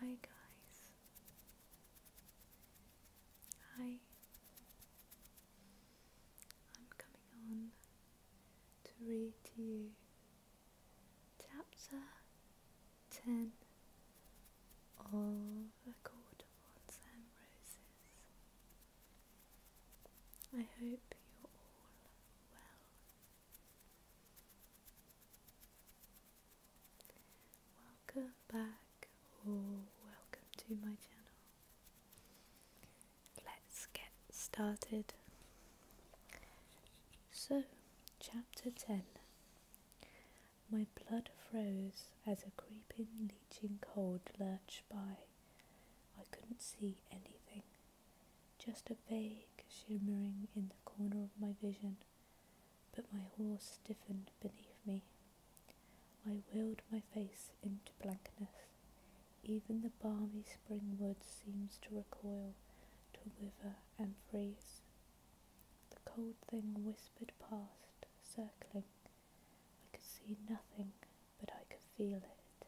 Hi guys. Hi. I'm coming on to read you chapter 10 of A Court of Wands and Roses. I hope you're all well. Welcome back or welcome to my channel. Let's get started. So, chapter 10. My blood froze as a creeping, leeching cold lurched by. I couldn't see anything just a vague shimmering in the corner of my vision, but my horse stiffened beneath me. I wheeled my face into blankness. Even the balmy spring wood seems to recoil, to wither and freeze. The cold thing whispered past, circling. I could see nothing, but I could feel it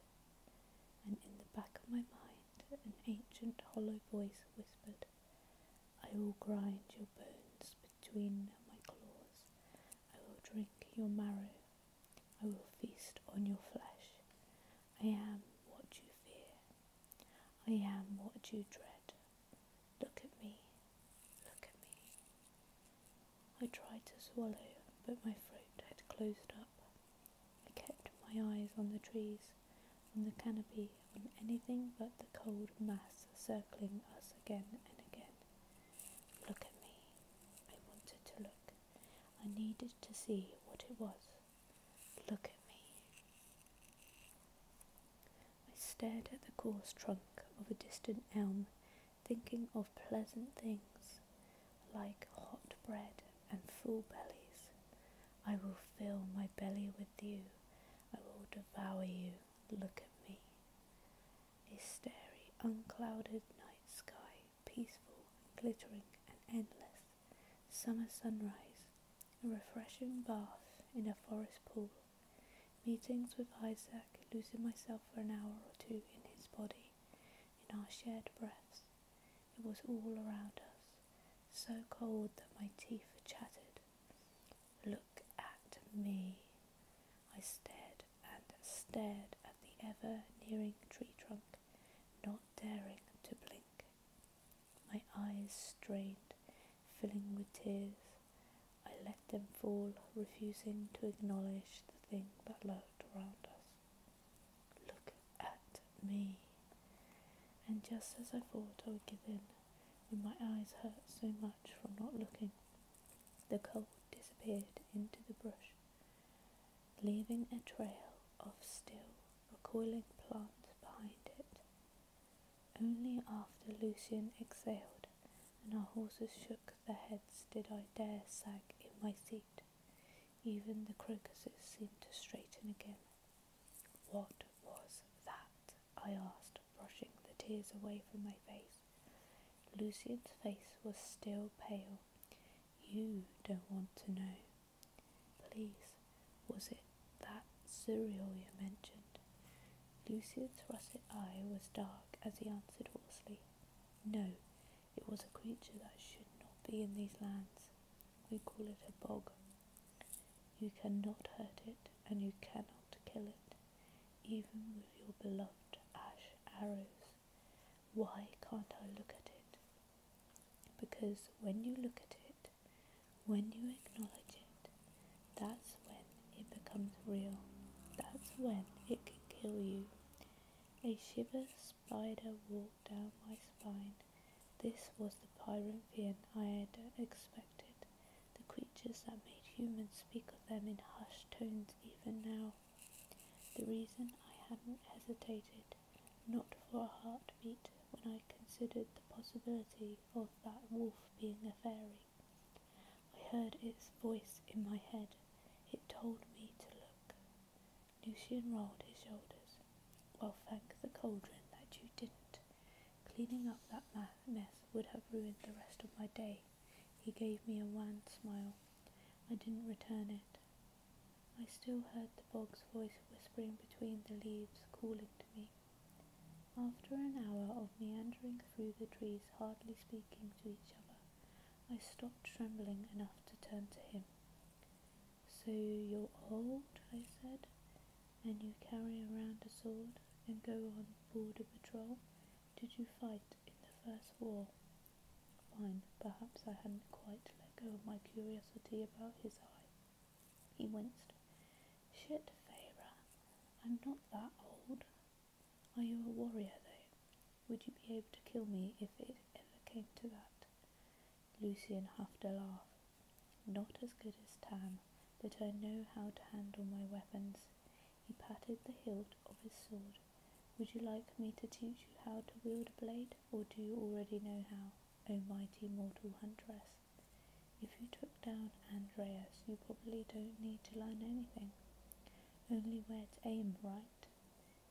and in the back of my mind an ancient hollow voice whispered, I will grind your bones between my claws, I will drink your marrow, I will feast on your flesh. I am what you fear, I am what you dread. Look at me, look at me. I tried to swallow, but my throat had closed up. I kept my eyes on the trees, on the canopy, on anything but the cold mass circling us again and again. Look at me. I wanted to look. I needed to see what it was. Look at me. I stared at the coarse trunk of a distant elm, thinking of pleasant things like hot bread and full bellies. I will fill my belly with you. I will devour you. Look at me. A starry, unclouded night sky, peaceful, glittering, and endless. Summer sunrise, a refreshing bath in a forest pool. Meetings with Isaac, losing myself for an hour or two in his body, in our shared breaths. It was all around us, so cold that my teeth chattered. Look at me. I stared and stared at the ever nearing tree trunk, not daring to blink. My eyes strained, filling with tears. I let them fall, refusing to acknowledge the thing that lurked around us. Look at me. And just as I thought I would give in, when my eyes hurt so much from not looking, the cold disappeared into the brush, leaving a trail of still recoiling plants behind it. Only after Lucian exhaled and our horses shook their heads did I dare sag in my seat. Even the crocuses seemed to straighten again. What was that? I asked, brushing the tears away from my face. Lucian's face was still pale. You don't want to know. Please, was it that Suryoya mentioned? Lucian's russet eye was dark as he answered hoarsely, No, it was a creature that should not be in these lands. We call it a bog. You cannot hurt it, and you cannot kill it, even with your beloved ash arrows. Why can't I look at it? Because when you look at it, when you acknowledge it, that's when it becomes real. That's when it can kill you. A shiver spider walked down my spine. This was the Pyrinthian I had expected, the creatures that made humans speak of them in hushed tones even now. The reason I hadn't hesitated, not for a heartbeat, when I considered the possibility of that wolf being a fairy. I heard its voice in my head. It told me to look, Lucian rolled his shoulders. Well, thank the cauldron that you didn't. Cleaning up that mess would have ruined the rest of my day. He gave me a wan smile. I didn't return it. I still heard the bog's voice whispering between the leaves, calling to me. After an hour of meandering through the trees, hardly speaking to each other, I stopped trembling enough to turn to him. So you're old, I said, and you carry around a sword and go on border patrol. Did you fight in the first war? Fine, perhaps I hadn't quite let go of my curiosity about his eye. He winced. Shit, Feyre, I'm not that old. Are you a warrior, though? Would you be able to kill me if it ever came to that? Lucian half a laugh. Not as good as Tam, but I know how to handle my weapons. He patted the hilt of his sword. Would you like me to teach you how to wield a blade, or do you already know how, O mighty mortal huntress? If you took down Andreas, you probably don't need to learn anything. Only where to aim, right?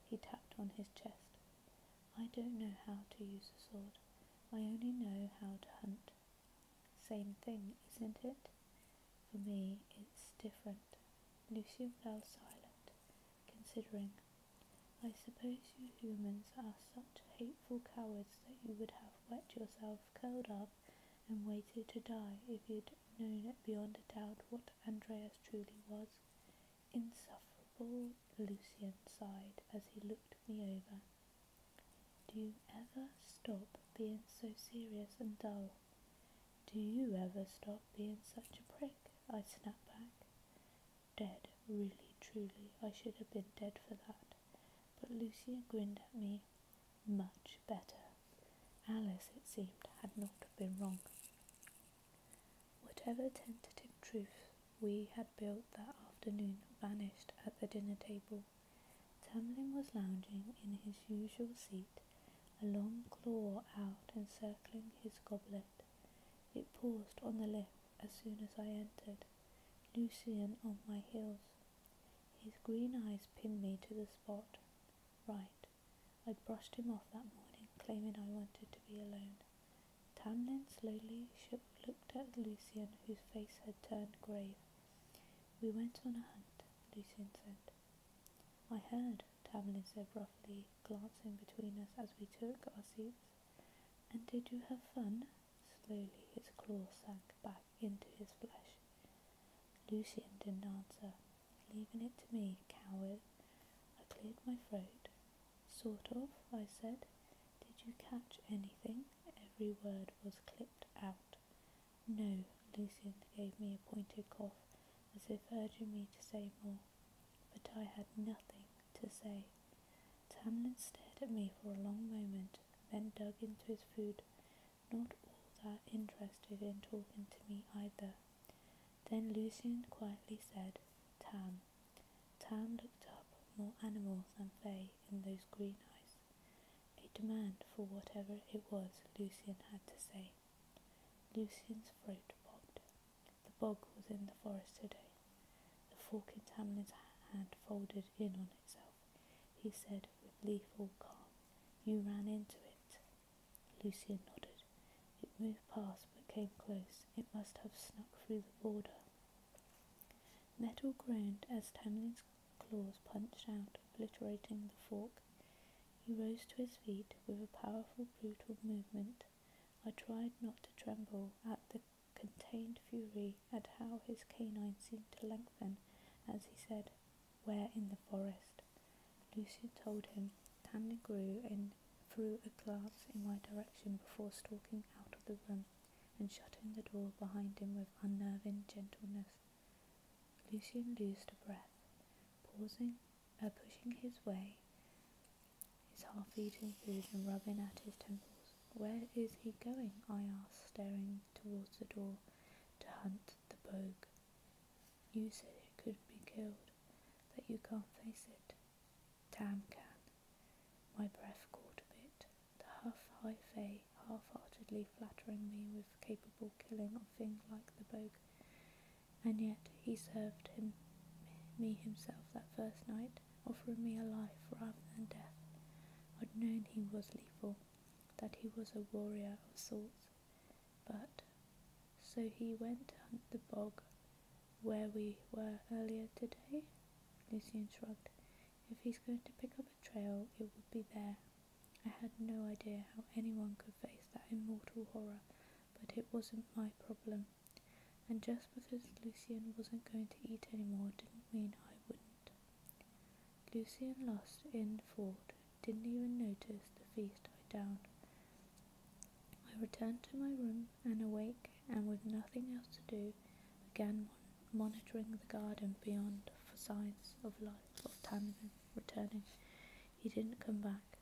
He tapped on his chest. I don't know how to use a sword. I only know how to hunt. Same thing, isn't it? For me, it's different. Lucian fell silent, considering. I suppose you humans are such hateful cowards that you would have wet yourself, curled up, and waited to die if you'd known beyond a doubt what Andreas truly was. Insufferable, Lucian sighed as he looked me over. Do you ever stop being so serious and dull? Do you ever stop being such a prick? I snapped back. Dead, really, truly, I should have been dead for that. But Lucian grinned at me. Much better. Alice, it seemed, had not been wrong. Whatever tentative truth we had built that afternoon vanished at the dinner table. Tamlin was lounging in his usual seat, a long claw out encircling his goblet. It paused on the lip as soon as I entered, Lucian on my heels. His green eyes pinned me to the spot. Right, i brushed him off that morning, claiming I wanted to be alone. Tamlin slowly looked at Lucian, whose face had turned grave. We went on a hunt, Lucian said. I heard, Tamlin said roughly, glancing between us as we took our seats. And did you have fun? Slowly his claw sank back into his flesh. Lucian didn't answer leaving it to me, coward. I cleared my throat. Sort of, I said. Did you catch anything? Every word was clipped out. No, Lucian gave me a pointed cough, as if urging me to say more, but I had nothing to say. Tamlin stared at me for a long moment, then dug into his food, not all that interested in talking to me either. Then Lucian quietly said, Tam. Tam looked up, more animal than fey in those green eyes, a demand for whatever it was Lucian had to say. Lucian's throat popped. The bog was in the forest today. The fork in Tamlin's hand folded in on itself. He said with lethal calm, You ran into it. Lucian nodded. It moved past but came close. It must have snuck through the border. Metal groaned as Tamlin's claws punched out, obliterating the fork. He rose to his feet with a powerful, brutal movement. I tried not to tremble at the contained fury at how his canines seemed to lengthen as he said, Where in the forest? Lucian told him. Tandy grew and threw a glance in my direction before stalking out of the room and shutting the door behind him with unnerving gentleness. Lucian loosed a breath, pausing, uh, pushing his way, his half-eaten food and rubbing at his temples. Where is he going? I asked, staring towards the door to hunt the bog. You said it could be killed, that you can't face it. Tam can. My breath caught a bit, the huff high fay half-heartedly flattering me with capable killing of things like the bogue. And yet he served him me himself that first night, offering me a life rather than death. I'd known he was lethal, that he was a warrior of sorts but so he went to hunt the bog where we were earlier today? Lucian shrugged. If he's going to pick up a trail, it would be there. I had no idea how anyone could face that immortal horror, but it wasn't my problem. And just because Lucian wasn't going to eat anymore didn't mean I wouldn't. Lucian lost in thought. didn't even notice the feast I downed, I returned to my room and awake and with nothing else to do began monitoring the garden beyond for signs of life of Tamarin returning. He didn't come back.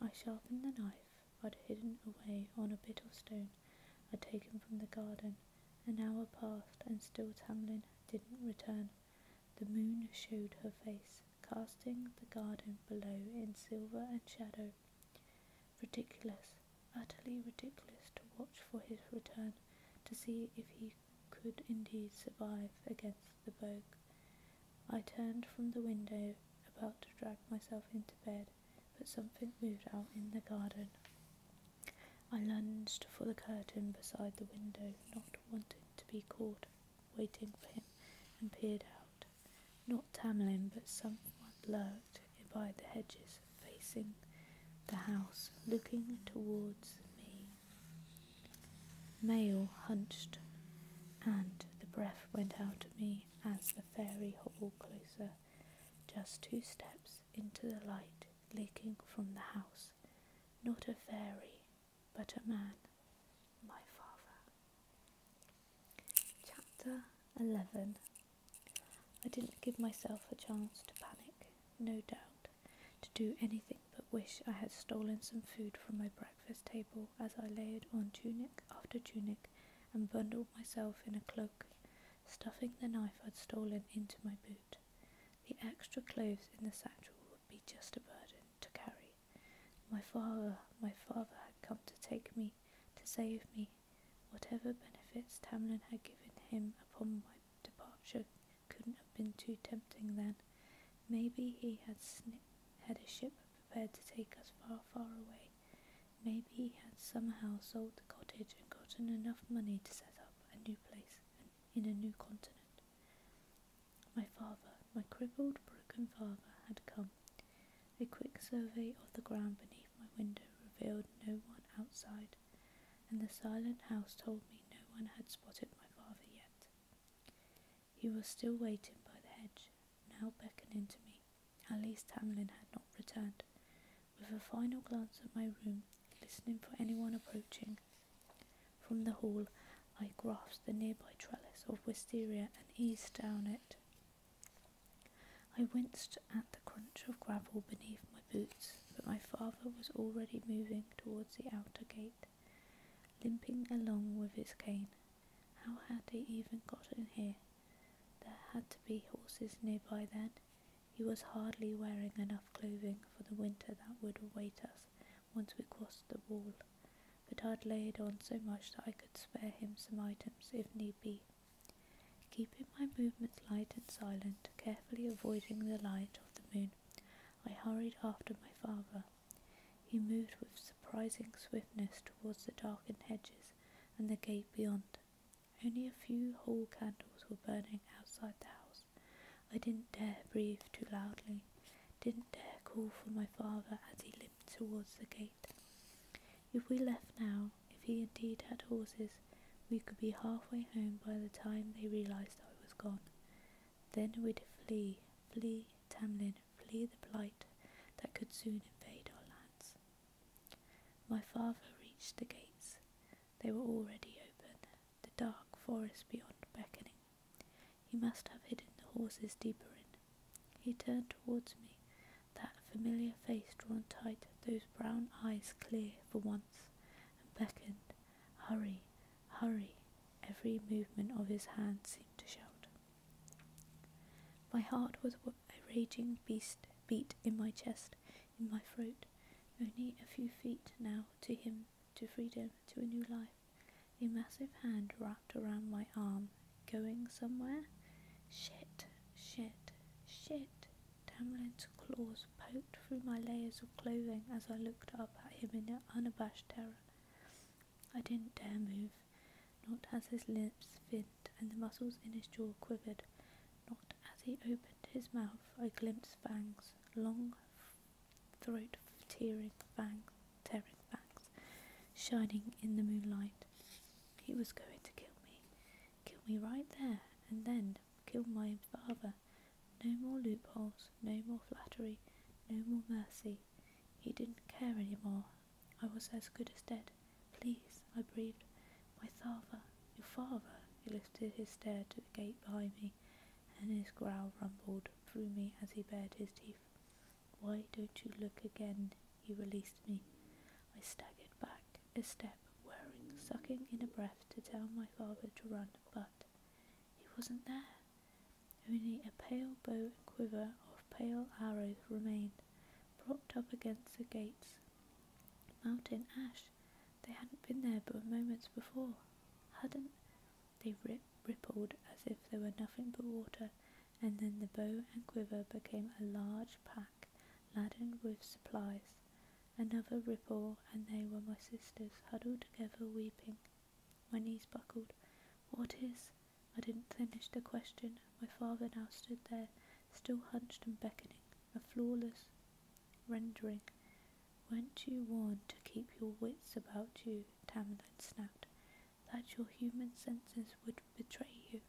I sharpened the knife I'd hidden away on a bit of stone I'd taken from the garden. An hour passed and still Tamlin didn't return. The moon showed her face casting the garden below in silver and shadow. Ridiculous, utterly ridiculous to watch for his return, to see if he could indeed survive against the bog. I turned from the window, about to drag myself into bed, but something moved out in the garden. I lunged for the curtain beside the window, not wanting to be caught, waiting for him, and peered out. Not Tamlin, but someone lurked by the hedges, facing the house, looking towards me. Male hunched, and the breath went out of me as the fairy hobbled closer, just two steps into the light leaking from the house. Not a fairy, but a man, my father. Chapter 11 I didn't give myself a chance to panic, no doubt, to do anything but wish I had stolen some food from my breakfast table as I layered on tunic after tunic and bundled myself in a cloak, stuffing the knife I'd stolen into my boot. The extra clothes in the satchel would be just a burden to carry. My father, my father had come to take me, to save me. Whatever benefits Tamlin had given him upon my departure couldn't have been too tempting then. Maybe he had had a ship prepared to take us far, far away. Maybe he had somehow sold the cottage and gotten enough money to set up a new place in a new continent. My father, my crippled, broken father, had come. A quick survey of the ground beneath my window revealed no one outside, and the silent house told me no one had spotted my father yet. He was still waiting by the hedge, now beckoning to me. At least Tamlin had not returned. With a final glance at my room, listening for anyone approaching, from the hall, I grasped the nearby trellis of wisteria and eased down it. I winced at the crunch of gravel beneath my boots, but my father was already moving towards the outer gate, limping along with his cane. How had he even got in here? There had to be horses nearby then. He was hardly wearing enough clothing for the winter that would await us once we crossed the wall, but I'd laid on so much that I could spare him some items if need be. Keeping my movements light and silent, carefully avoiding the light of the moon, I hurried after my father. He moved with surprising swiftness towards the darkened hedges and the gate beyond. Only a few hall candles were burning outside the house. I didn't dare breathe too loudly, didn't dare call for my father as he limped towards the gate. If we left now, if he indeed had horses, we could be halfway home by the time they realized I was gone. Then we'd flee, flee Tamlin, flee the blight that could soon invade our lands. My father reached the gates. They were already open, the dark forest beyond beckoning. He must have hidden the horses deeper in. He turned towards me, that familiar face drawn tight, those brown eyes clear for once, and beckoned, Hurry, hurry. Every movement of his hand seemed to shout. My heart was a raging beast beat in my chest, in my throat, only a few feet now to him, to freedom, to a new life. A massive hand wrapped around my arm. Going somewhere? Shit, shit, shit. Tamlin's claws poked through my layers of clothing as I looked up at him in unabashed terror. I didn't dare move, not as his lips thinned and the muscles in his jaw quivered, not as he opened his mouth I glimpsed fangs, long, throat of tearing fangs, tearing fangs, shining in the moonlight. He was going to kill me, kill me right there and then, kill my father. No more loopholes, no more flattery, no more mercy. He didn't care any more. I was as good as dead. Please, I breathed. My father, your father. He lifted his stare to the gate behind me, and his growl rumbled through me as he bared his teeth. Why don't you look again? He released me. I staggered back a step, whirring, sucking in a breath to tell my father to run, but he wasn't there. Only a pale bow and quiver of pale arrows remained, propped up against the gates. Mountain ash. They hadn't been there but moments before. Hadn't they rip, rippled as if they were nothing but water, and then the bow and quiver became a large pack laden with supplies. Another ripple, and they were my sisters huddled together weeping. My knees buckled. What is? I didn't finish the question. My father now stood there, still hunched and beckoning, a flawless rendering. Weren't you warned to keep your wits about you? Tamlin snapped that your human senses would betray you.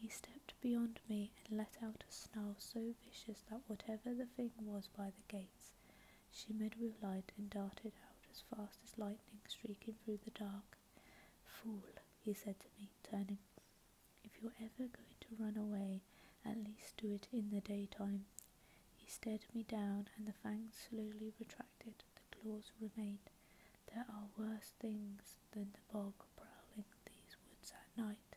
He stepped beyond me and let out a snarl so vicious that whatever the thing was by the gates shimmered with light and darted out as fast as lightning streaking through the dark. Fool, he said to me, turning, if you're ever going to run away, at least do it in the daytime he stared me down, and the fangs slowly retracted, the claws remained. There are worse things than the bog prowling these woods at night.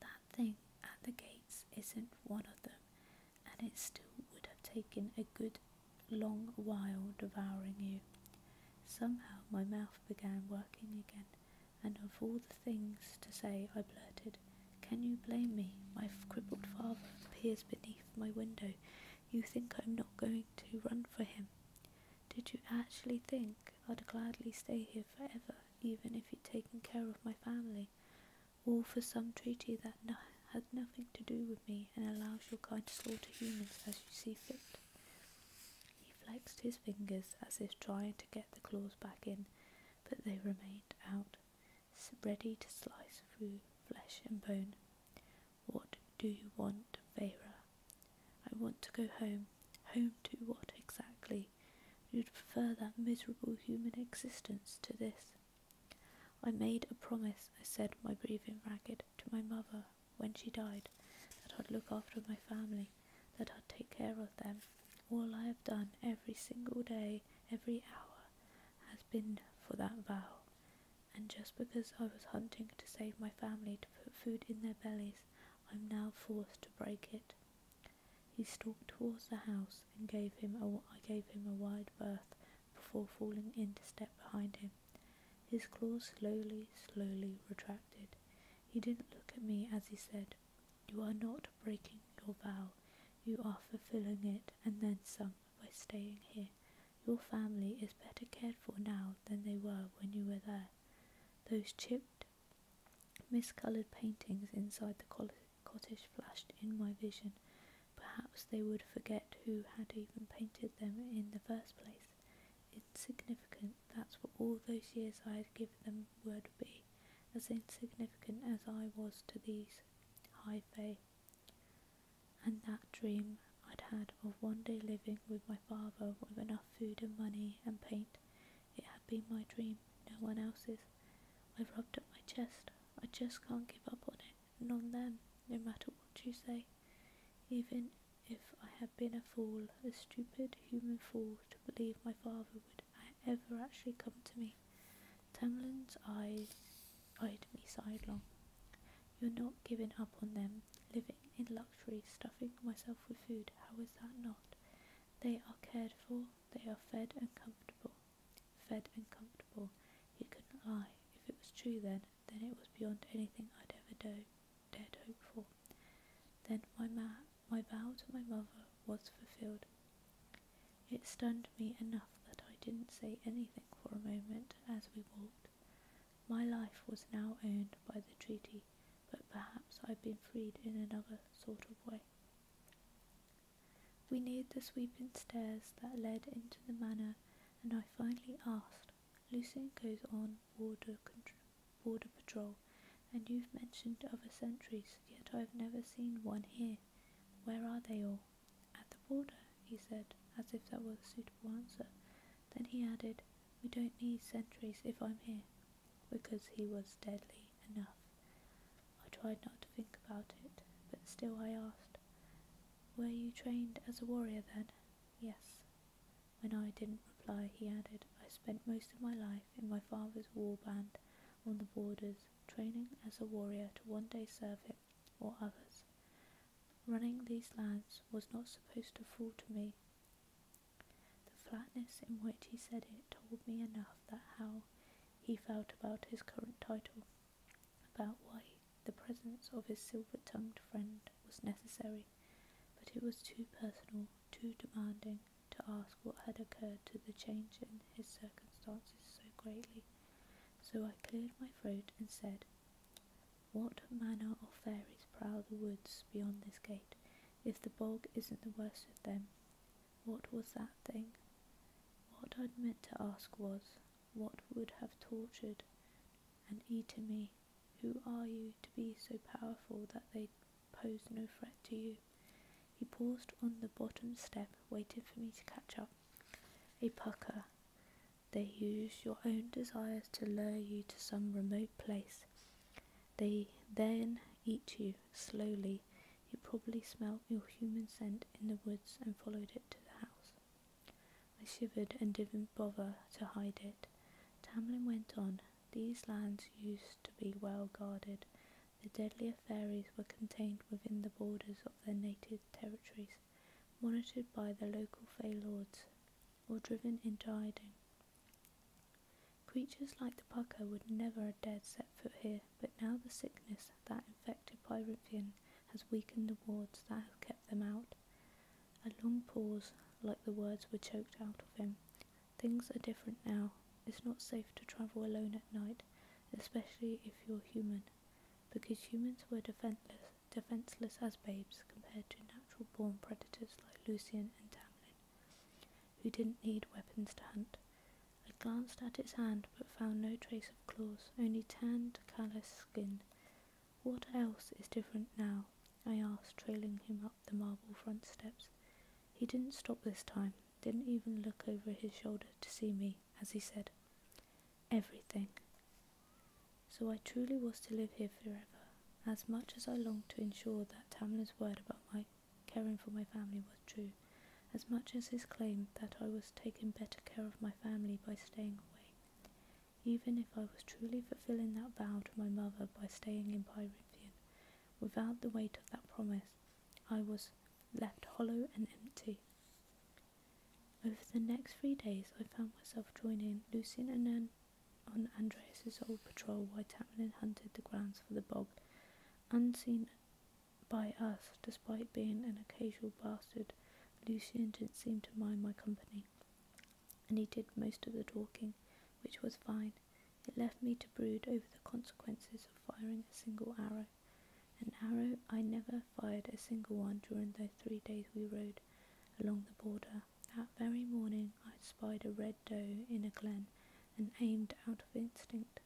That thing at the gates isn't one of them, and it still would have taken a good long while devouring you. Somehow my mouth began working again, and of all the things to say, I blurted, can you blame me? My crippled father peers beneath my window. You think I'm not going to run for him. Did you actually think I'd gladly stay here forever, even if you'd taken care of my family? All for some treaty that has nothing to do with me and allows your kind to slaughter humans as you see fit. He flexed his fingers as if trying to get the claws back in, but they remained out ready to slice through flesh and bone. What do you want, Vera? I want to go home. Home to what exactly? You'd prefer that miserable human existence to this. I made a promise, I said, my grieving, ragged, to my mother when she died, that I'd look after my family, that I'd take care of them. All I have done every single day, every hour, has been for that vow, and just because I was hunting to save my family to put food in their bellies, I'm now forced to break it. He stalked towards the house and gave him a, I gave him a wide berth before falling into step behind him. His claws slowly, slowly retracted. He didn't look at me as he said, you are not breaking your vow, you are fulfilling it, and then some, by staying here. Your family is better cared for now than they were when you were there. Those chipped, miscolored paintings inside the cottage flashed in my vision. Perhaps they would forget who had even painted them in the first place. Insignificant, that's what all those years I had given them would be, as insignificant as I was to these. High faith, and that dream I'd had of one day living with my father with enough food and money and paint. It had been my dream, no one else's. I rubbed up my chest. I just can't give up on it and on them, no matter what you say. Even if I had been a fool, a stupid human fool, to believe my father would had ever actually come to me. Tamlin's eyes eyed me sidelong. You're not giving up on them, living in luxury, stuffing myself with food. How is that not? They are cared for, they are fed and comfortable. Fed and comfortable. He couldn't lie. If it was true then, then it was beyond anything I'd ever do, dared hope for. Then my, ma- my vow to my mother was fulfilled. It stunned me enough that I didn't say anything for a moment as we walked. My life was now owned by the treaty, but perhaps I'd been freed in another sort of way. We neared the sweeping stairs that led into the manor, and I finally asked, Lucien goes on border, border patrol, and you've mentioned other sentries, yet I've never seen one here. Where are they all? At the border, he said, as if that were a suitable answer. Then he added, We don't need sentries if I'm here, because he was deadly enough. I tried not to think about it, but still I asked, Were you trained as a warrior then? Yes. When I didn't reply, he added, I spent most of my life in my father's war band on the borders, training as a warrior to one day serve him or others. Running these lands was not supposed to fall to me. The flatness in which he said it told me enough that how he felt about his current title, about why the presence of his silver-tongued friend was necessary, but it was too personal, too demanding, to ask what had occurred to the change in his circumstances so greatly. So I cleared my throat and said, What manner of fairies prowl the woods beyond this gate, if the bog isn't the worst of them? What was that thing? What I'd meant to ask was, what would have tortured and eaten me? Who are you to be so powerful that they pose no threat to you? He paused on the bottom step, waiting for me to catch up. A pucker. They use your own desires to lure you to some remote place. They then eat you slowly. You probably smelled your human scent in the woods and followed it to the house. I shivered and didn't bother to hide it. Tamlin went on. These lands used to be well guarded, the deadlier fairies were contained within the borders of their native territories, monitored by their local fey lords, or driven into hiding. Creatures like the pucker would never have dared set foot here, but now the sickness that infected Pyrithian has weakened the wards that have kept them out. A long pause, like the words were choked out of him, Things are different now. It's not safe to travel alone at night, especially if you're human, because humans were defenseless, defenseless as babes compared to natural born predators like Lucian and Tamlin, who didn't need weapons to hunt. I glanced at its hand but found no trace of claws, only tanned, calloused skin. What else is different now? I asked, trailing him up the marble front steps. He didn't stop this time, didn't even look over his shoulder to see me as he said, Everything. So I truly was to live here forever, as much as I longed to ensure that Tamlin's word about my caring for my family was true, as much as his claim that I was taking better care of my family by staying away, even if I was truly fulfilling that vow to my mother by staying in Pyrenean, without the weight of that promise, I was left hollow and empty. Over the next three days, I found myself joining Lucian and Nan on Andreas's old patrol while Tamlin hunted the grounds for the bog, unseen by us, despite being an occasional bastard. Lucian didn't seem to mind my company, and he did most of the talking, which was fine. It left me to brood over the consequences of firing a single arrow. An arrow I never fired a single one during those three days we rode along the border. That very morning I spied a red doe in a glen and aimed out of instinct.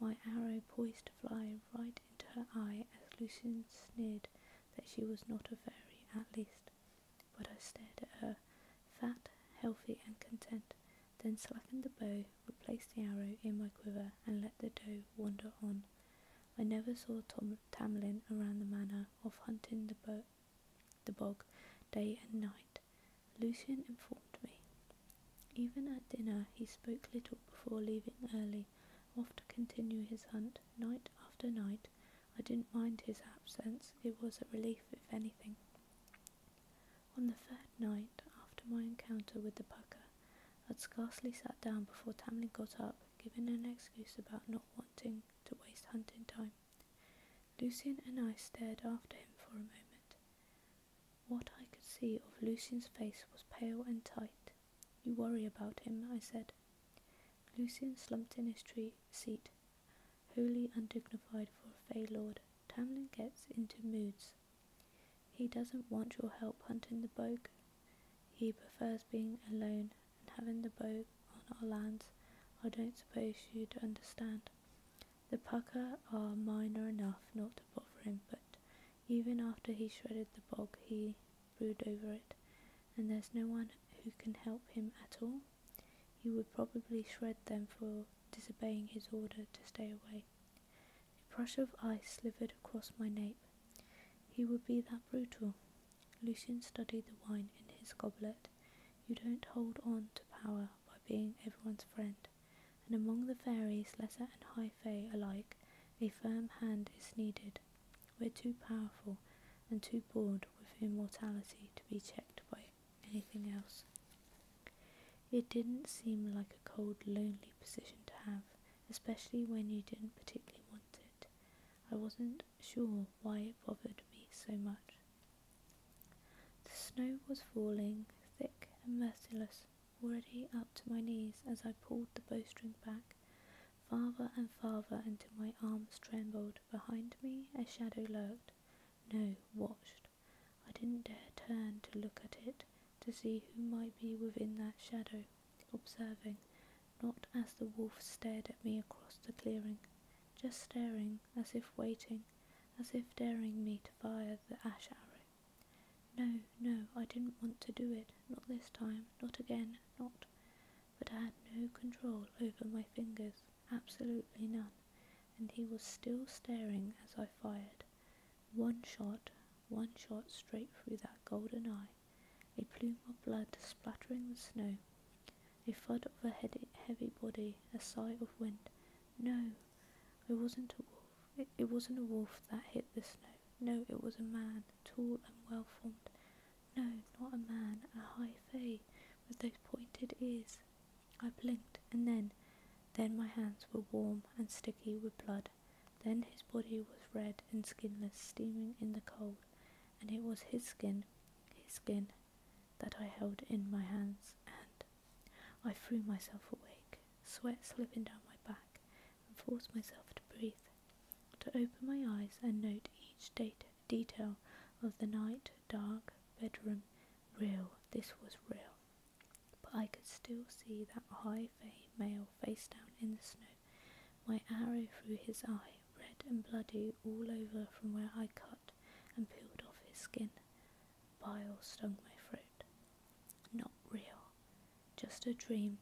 My arrow poised to fly right into her eye as Lucian sneered that she was not a fairy, at least. But I stared at her, fat, healthy, and content, then slackened the bow, replaced the arrow in my quiver, and let the doe wander on. I never saw Tom- Tamlin around the manor, of hunting the, the bog day and night, Lucian informed me. Even at dinner, he spoke little before leaving early, off to continue his hunt night after night. I didn't mind his absence, it was a relief, if anything. On the third night after my encounter with the pucker, I'd scarcely sat down before Tamlin got up, giving an excuse about not wanting to waste hunting time. Lucian and I stared after him for a moment. What I could see of Lucian's face was pale and tight. You worry about him, I said. Lucian slumped in his tree seat, wholly undignified for a Fey Lord. Tamlin gets into moods. He doesn't want your help hunting the bogue. He prefers being alone and having the bogue on our lands. I don't suppose you'd understand. The pucker are minor enough not to bother him, but even after he shredded the bog, he brooded over it, and there's no one who can help him at all. He would probably shred them for disobeying his order to stay away. A brush of ice slithered across my nape. He would be that brutal. Lucian studied the wine in his goblet. You don't hold on to power by being everyone's friend, and among the fairies, lesser and high fae alike, a firm hand is needed. We're too powerful and too bored with immortality to be checked by anything else. It didn't seem like a cold, lonely position to have, especially when you didn't particularly want it. I wasn't sure why it bothered me so much. The snow was falling, thick and merciless, already up to my knees as I pulled the bowstring back, farther and farther until my arms trembled. Behind me, a shadow lurked. No, watched. I didn't dare turn to look at it to see who might be within that shadow, observing, not as the wolf stared at me across the clearing, just staring as if waiting, as if daring me to fire the ash arrow. No, no, I didn't want to do it, not this time, not again, not. But I had no control over my fingers, absolutely none and he was still staring as I fired. One shot, one shot straight through that golden eye, a plume of blood splattering the snow, a thud of a heavy body, a sigh of wind. No, it wasn't a wolf. It, it wasn't a wolf that hit the snow. No, it was a man, tall and well formed. No, not a man, a high fae with those pointed ears, I blinked, and then, then my hands were warm and sticky with blood. Then his body was red and skinless, steaming in the cold, and it was his skin, his skin, that I held in my hands, and I threw myself awake, sweat slipping down my back, and forced myself to breathe, to open my eyes and note each data, detail of the night, dark bedroom. Real, this was real but I could still see that high male face down in the snow, my arrow through his eye, red and bloody all over from where I cut and peeled off his skin. Bile stung my throat. Not real, just a dream,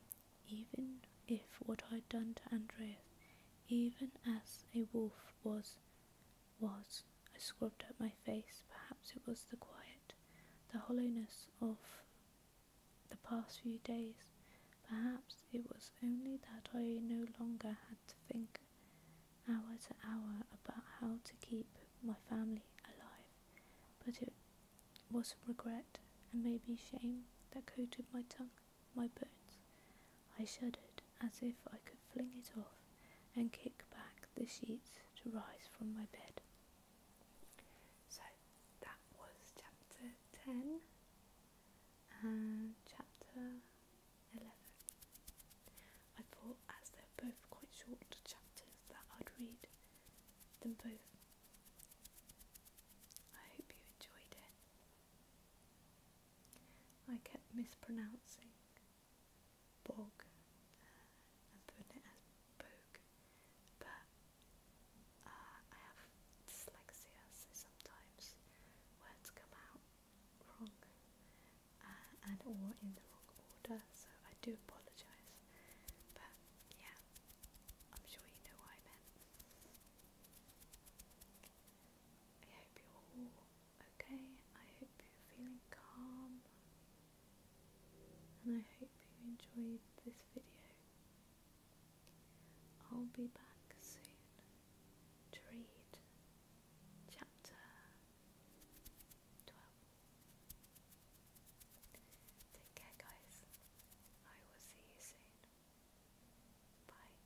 even if what I'd done to Andreas, even as a wolf was was. I scrubbed up my face. Perhaps it was the quiet, the hollowness of the past few days. Perhaps it was only that I no longer had to think hour to hour about how to keep my family alive. But it was regret and maybe shame that coated my tongue, my bones. I shuddered as if I could fling it off and kick back the sheets to rise from my bed. So that was chapter 10 and chapter 11. I thought, as they're both quite short chapters, that I'd read them both. I hope you enjoyed it. I kept mispronouncing bog and putting it as bog, but uh, I have dyslexia, so sometimes words come out wrong uh, and or in the wrong order, so I do apologise, but yeah, I'm sure you know what I meant. I hope you all Okay, I hope you're feeling calm and I hope you enjoyed this video. I'll be back soon to read chapter 12. Take care, guys. I will see you soon. Bye.